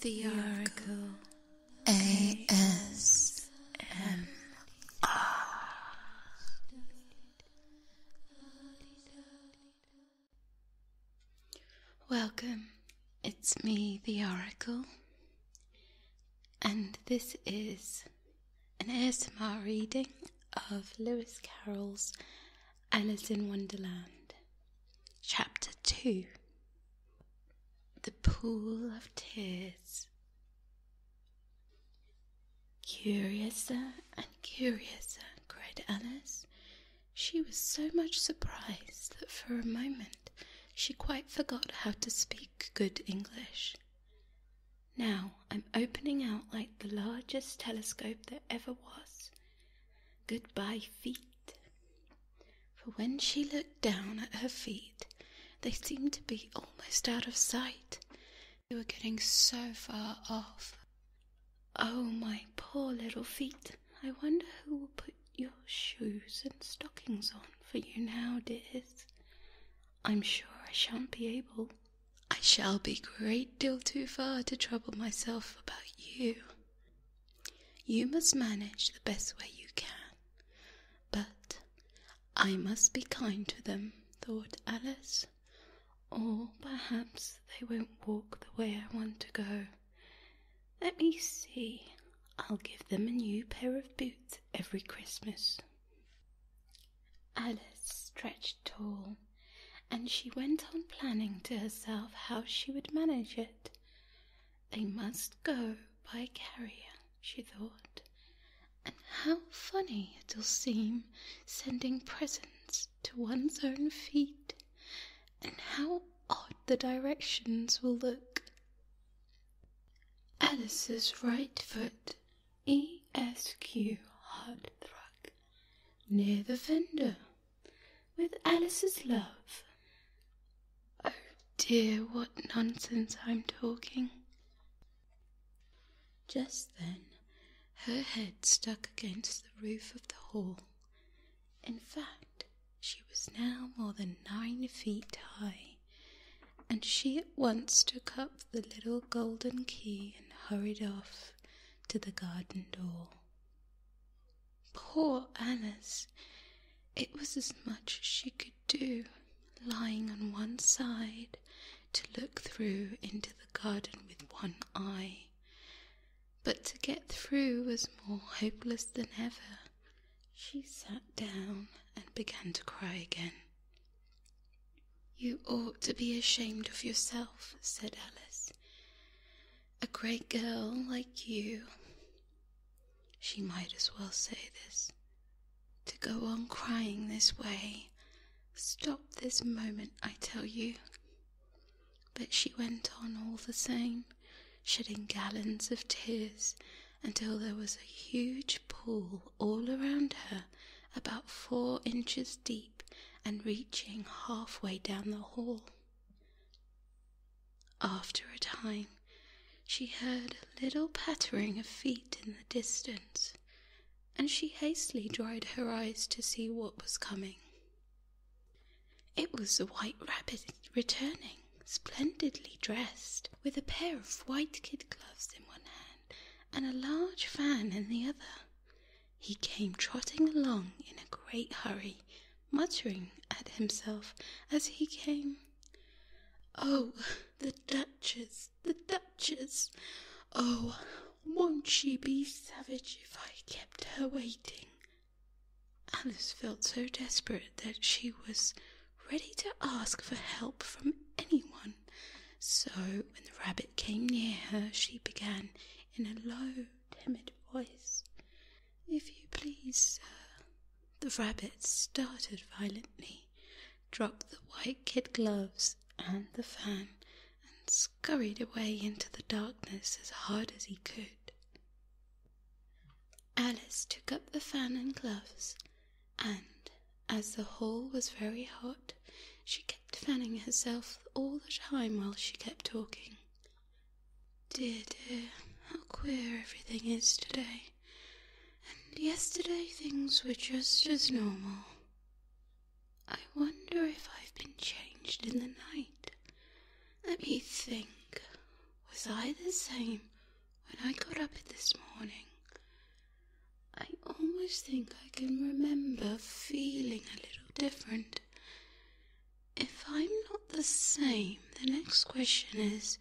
The Oracle ASMR. Welcome, it's me, the Oracle, and this is an ASMR reading of Lewis Carroll's Alice in Wonderland. Chapter 2 The Pool of Tears. Curiouser and curiouser, cried Alice. She was so much surprised that for a moment she quite forgot how to speak good English. Now I'm opening out like the largest telescope that ever was, Goodbye, feet. For when she looked down at her feet, they seemed to be almost out of sight. They were getting so far off. Oh, my poor little feet. I wonder who will put your shoes and stockings on for you now, dears. I'm sure I shan't be able. I shall be a great deal too far to trouble myself about you. You must manage the best way you can. But I must be kind to them, thought Alice, or perhaps they won't walk the way I want to go. Let me see, I'll give them a new pair of boots every Christmas. Alice stretched much all, and she went on planning to herself how she would manage it. They must go by carrier, she thought, and how funny it'll seem sending presents to one's own feet, and how odd the directions will look. Alice's right foot, E S Q hard thruck, near the fender with Alice's love. Oh dear, what nonsense I'm talking. Just then, her head stuck against the roof of the hall. In fact, she was now more than nine feet high, and she at once took up the little golden key and hurried off to the garden door. Poor Alice! It was as much as she could do, lying on one side, to look through into the garden with one eye. But to get through was more hopeless than ever. She sat down and began to cry again. You ought to be ashamed of yourself, said Alice. A great girl like you. She might as well say this. To go on crying this way. Stop this moment, I tell you. But she went on all the same, shedding gallons of tears until there was a huge pool all around her, about four inches deep and reaching halfway down the hall. After a time, she heard a little pattering of feet in the distance, and she hastily dried her eyes to see what was coming. It was the white rabbit returning, splendidly dressed, with a pair of white kid gloves in one hand and a large fan in the other he came trotting along in a great hurry, muttering at himself as he came. Oh, the Duchess, the Duchess! Oh, won't she be savage if I kept her waiting? Alice felt so desperate that she was ready to ask for help from anyone so when the rabbit came near her, she began in a low, timid voice, If you please, sir. The rabbit started violently, dropped the white kid gloves and the fan, and scurried away into the darkness as hard as he could. Alice took up the fan and gloves, and as the hall was very hot, she kept fanning herself all the time while she kept talking. Dear, dear, how queer everything is today. And yesterday things were just as normal. I wonder if I've been changed in the night. Let me think. Was I the same when I got up this morning? I almost think I can remember feeling a little different. If I'm not the same, the next question is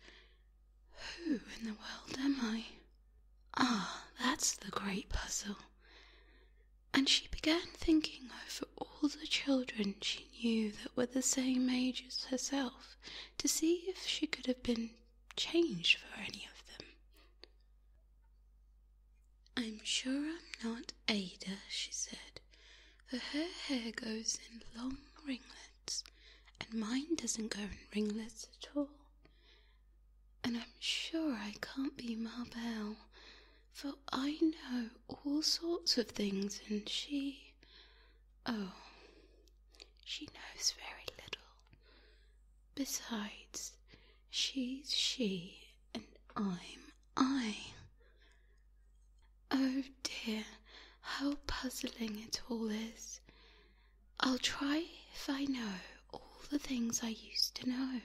who in the world am I? Ah, that's the great puzzle. And she began thinking over all the children she knew that were the same age as herself to see if she could have been changed for any of them. I'm sure I'm not Ada, she said, for her hair goes in long ringlets, and mine doesn't go in ringlets at all. And I'm sure I can't be Marbelle, for I know all sorts of things, and she. Oh, she knows very little. Besides, She's she, and I'm I. Oh dear, how puzzling it all is. I'll try if I know all the things I used to know.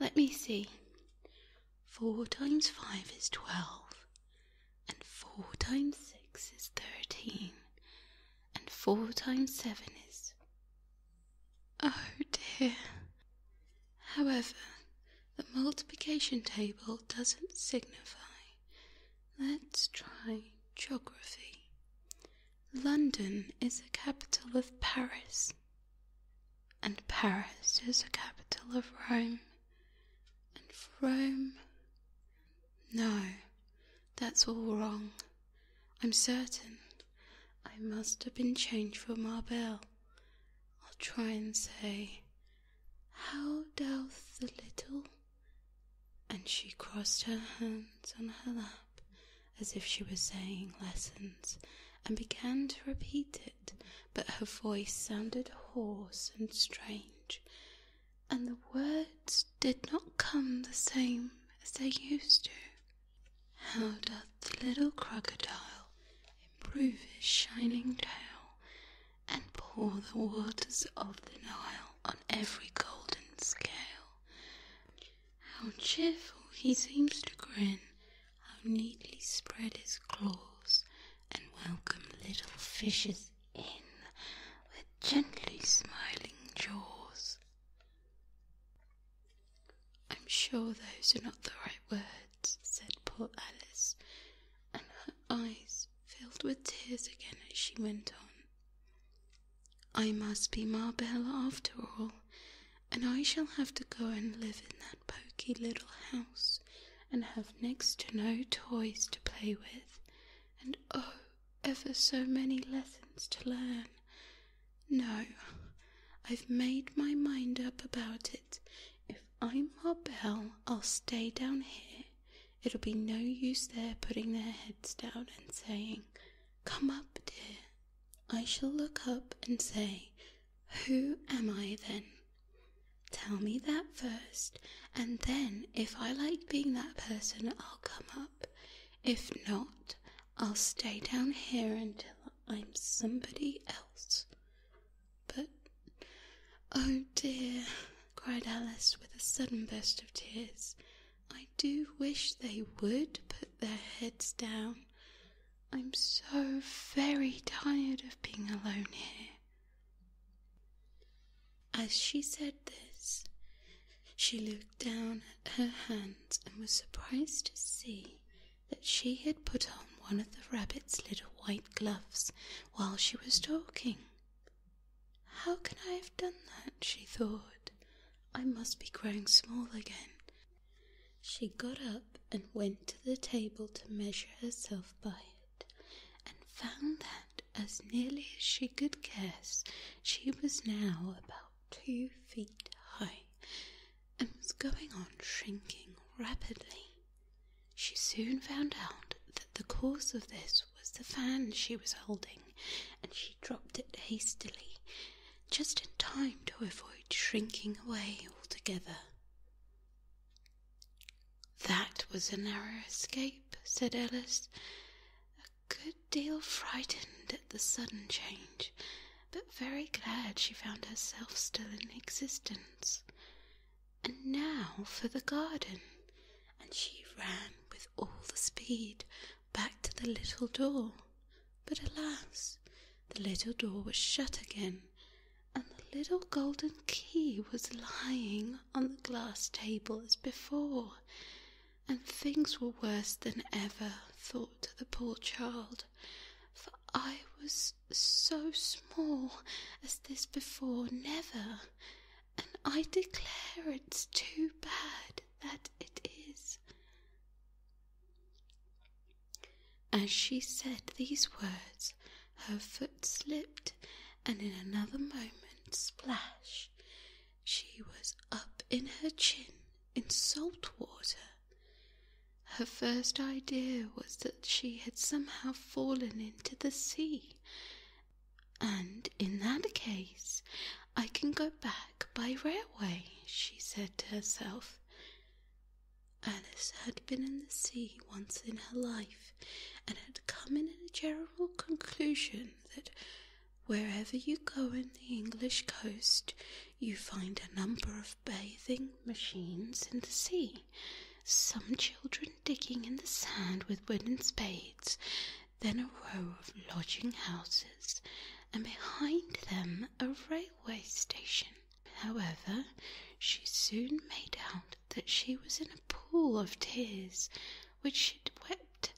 Let me see. Four times five is twelve, and four times six is thirteen, and four times seven is Oh dear. However, the multiplication table doesn't signify. Let's try geography. London is the capital of Paris, and Paris is the capital of Rome, and Rome. No, that's all wrong. I'm certain I must have been changed for Marbelle. I'll try and say, How doth the little? And she crossed her hands on her lap as if she were saying lessons and began to repeat it, but her voice sounded hoarse and strange, and the words did not come the same as they used to. How doth the little crocodile improve his shining tail and pour the waters of the Nile on every golden scale? How cheerful he seems to grin, how neatly spread his claws and welcome little fishes in with gently smiling jaws. I'm sure those are not the right words, said poor Alice, and her eyes filled with tears again as she went on. I must be Marbella after all, and I shall have to go and live in that poky little house and have next to no toys to play with, and oh, ever so many lessons to learn. No, I've made my mind up about it. If I'm Marbelle, I'll stay down here. It'll be no use their putting their heads down and saying, Come up, dear. I shall look up and say, Who am I then? Tell me that first, and then if I like being that person, I'll come up. If not, I'll stay down here until I'm somebody else. But, oh dear, cried Alice with a sudden burst of tears, I do wish they would put their heads down. I'm so very tired of being alone here. As she said this, she looked down at her hands and was surprised to see that she had put on one of the rabbit's little white gloves while she was talking. How can I have done that? she thought. I must be growing small again. She got up and went to the table to measure herself by it, and found that as nearly as she could guess, she was now about two feet high and was going on shrinking rapidly. She soon found out that the cause of this was the fan she was holding, and she dropped it hastily, just in time to avoid shrinking away altogether. That was a narrow escape, said Ellis good deal frightened at the sudden change, but very glad she found herself still in existence. And now for the garden, and she ran with all the speed back to the little door. But alas, the little door was shut again, and the little golden key was lying on the glass table as before and things were worse than ever, thought the poor child, for I was so small as this before never, and I declare it's too bad that it is. As she said these words, her foot slipped, and in another moment, splash, she was up in her chin in salt water. Her first idea was that she had somehow fallen into the sea, and in that case I can go back by railway, she said to herself. Alice had been in the sea once in her life and had come in a general conclusion that wherever you go in the English coast, you find a number of bathing machines in the sea. Some children digging in the sand with wooden spades, then a row of lodging houses, and behind them a railway station. However, she soon made out that she was in a pool of tears which she'd wept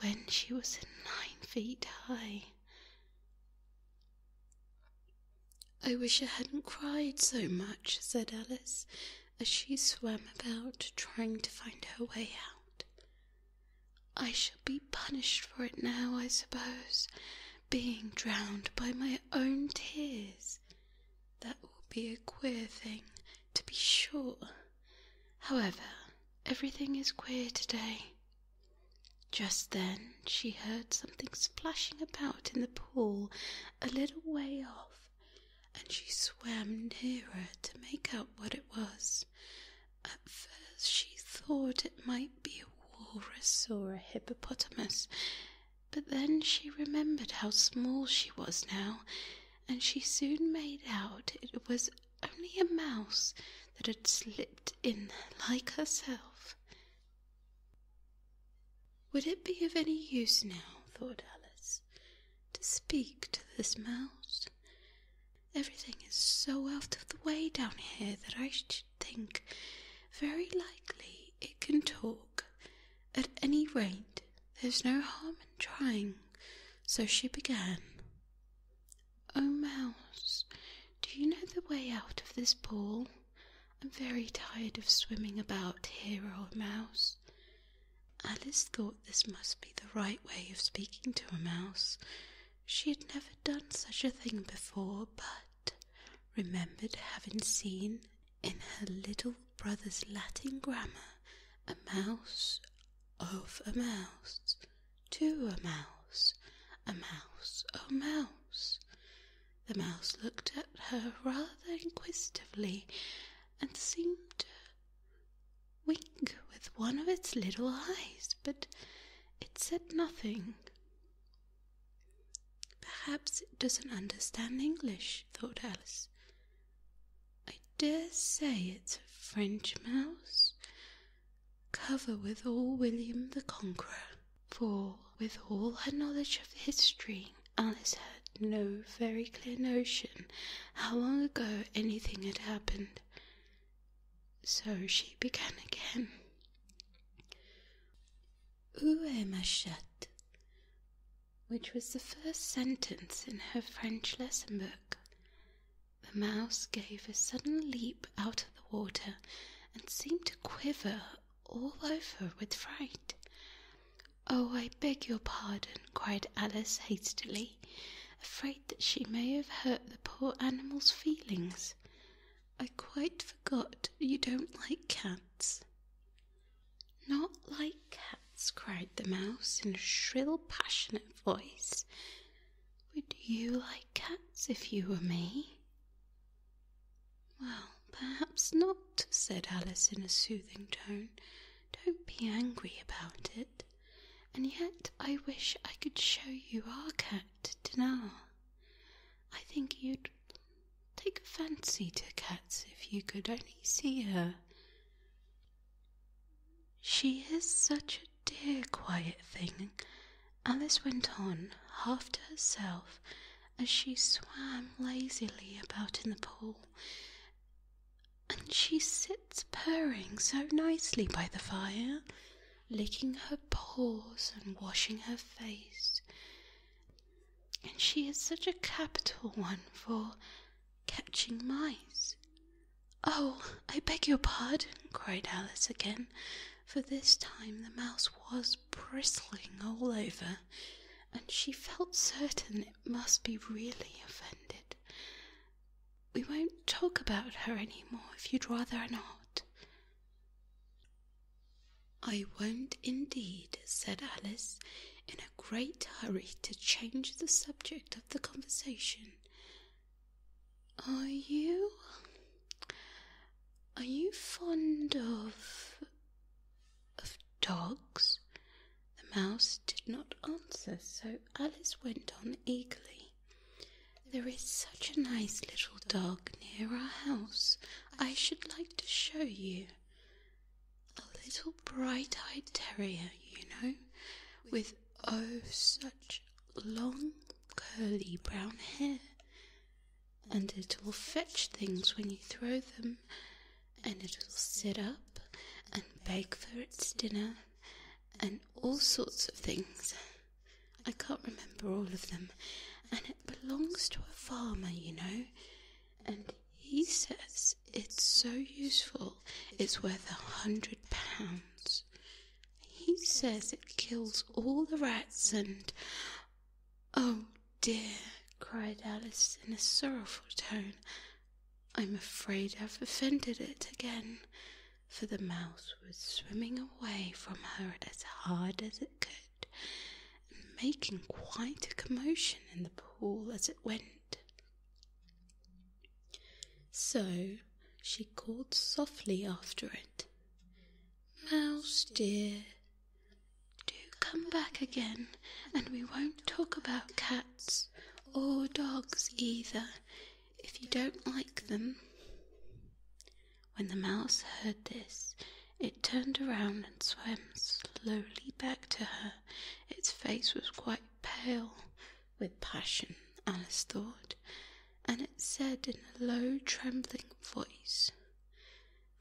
when she was nine feet high. I wish I hadn't cried so much, said Alice, as she swam about trying to find her way out. I shall be punished for it now, I suppose, being drowned by my own tears. That will be a queer thing, to be sure. However, everything is queer today. Just then she heard something splashing about in the pool a little way off, and she swam nearer to make out what it was. At first she thought it might be a walrus or a hippopotamus, but then she remembered how small she was now, and she soon made out it was only a mouse that had slipped in like herself. Would it be of any use now, thought Alice, to speak to this mouse? Everything is so out of the way down here that I should think very likely it can talk at any rate, there's no harm in trying. So she began. Oh, Mouse, do you know the way out of this pool? I'm very tired of swimming about here, old mouse. Alice thought this must be the right way of speaking to a mouse. She had never done such a thing before, but remembered having seen in her little brother's Latin grammar a mouse of a mouse, to a mouse, a mouse, a mouse. The mouse looked at her rather inquisitively and seemed to wink with one of its little eyes, but it said nothing. Perhaps it doesn't understand English, thought Alice. I dare say it's a French mouse, cover with all William the Conqueror. For, with all her knowledge of history, Alice had no very clear notion how long ago anything had happened. So she began again. Où est which was the first sentence in her French lesson book. The mouse gave a sudden leap out of the water and seemed to quiver all over with fright. Oh, I beg your pardon, cried Alice hastily, afraid that she may have hurt the poor animal's feelings. I quite forgot you don't like cats. Not like cats, cried the mouse in a shrill, passionate voice. Would you like cats if you were me? Well, perhaps not, said Alice in a soothing tone. Don't be angry about it. And yet I wish I could show you our cat, Dinar. I think you'd Take a fancy to cats if you could only see her. She is such a dear, quiet thing, Alice went on, half to herself, as she swam lazily about in the pool. And she sits purring so nicely by the fire, licking her paws and washing her face and she is such a capital one for catching mice. Oh, I beg your pardon, cried Alice again, for this time the mouse was bristling all over, and she felt certain it must be really offended. We won't talk about her any more if you'd rather not. I won't indeed, said Alice, in a great hurry to change the subject of the conversation. Are you. are you fond of. of dogs? The mouse did not answer, so Alice went on eagerly. There is such a nice little dog near our house. I should like to show you. A little bright eyed terrier, you know, with oh, such long, curly brown hair. And it'll fetch things when you throw them, and it'll sit up and beg for its dinner, and all sorts of things. I can't remember all of them, and it belongs to a farmer, you know and he says it's so useful it's worth a hundred pounds. He says it kills all the rats and. Oh dear, cried Alice in a sorrowful tone. I'm afraid I've offended it again, for the mouse was swimming away from her as hard as it could and making quite a commotion in the pool as it went. So she called softly after it, Mouse dear, do come back again, and we won't talk about cats or dogs either if you don't like them. When the mouse heard this, it turned around and swam slowly back to her. Its face was quite pale with passion, Alice thought, and it said in a low, trembling voice,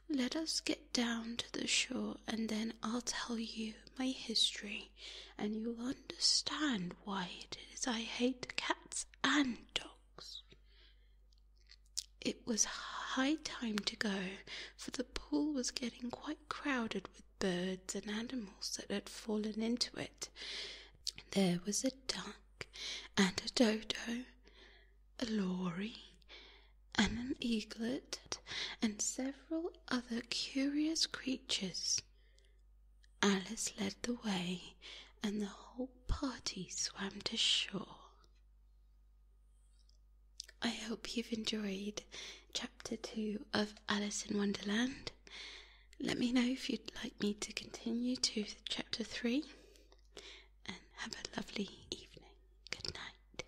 Let us get down to the shore, and then I'll tell you my history, and you'll understand why it is I hate cats and dogs. It was high time to go, for the pool was getting quite crowded with birds and animals that had fallen into it. There was a duck, and a dodo, a lory, and an eaglet, and several other curious creatures. Alice led the way, and the whole party swam to shore. I hope you've enjoyed chapter two of Alice in Wonderland. Let me know if you'd like me to continue to chapter three, and have a lovely evening. Good night.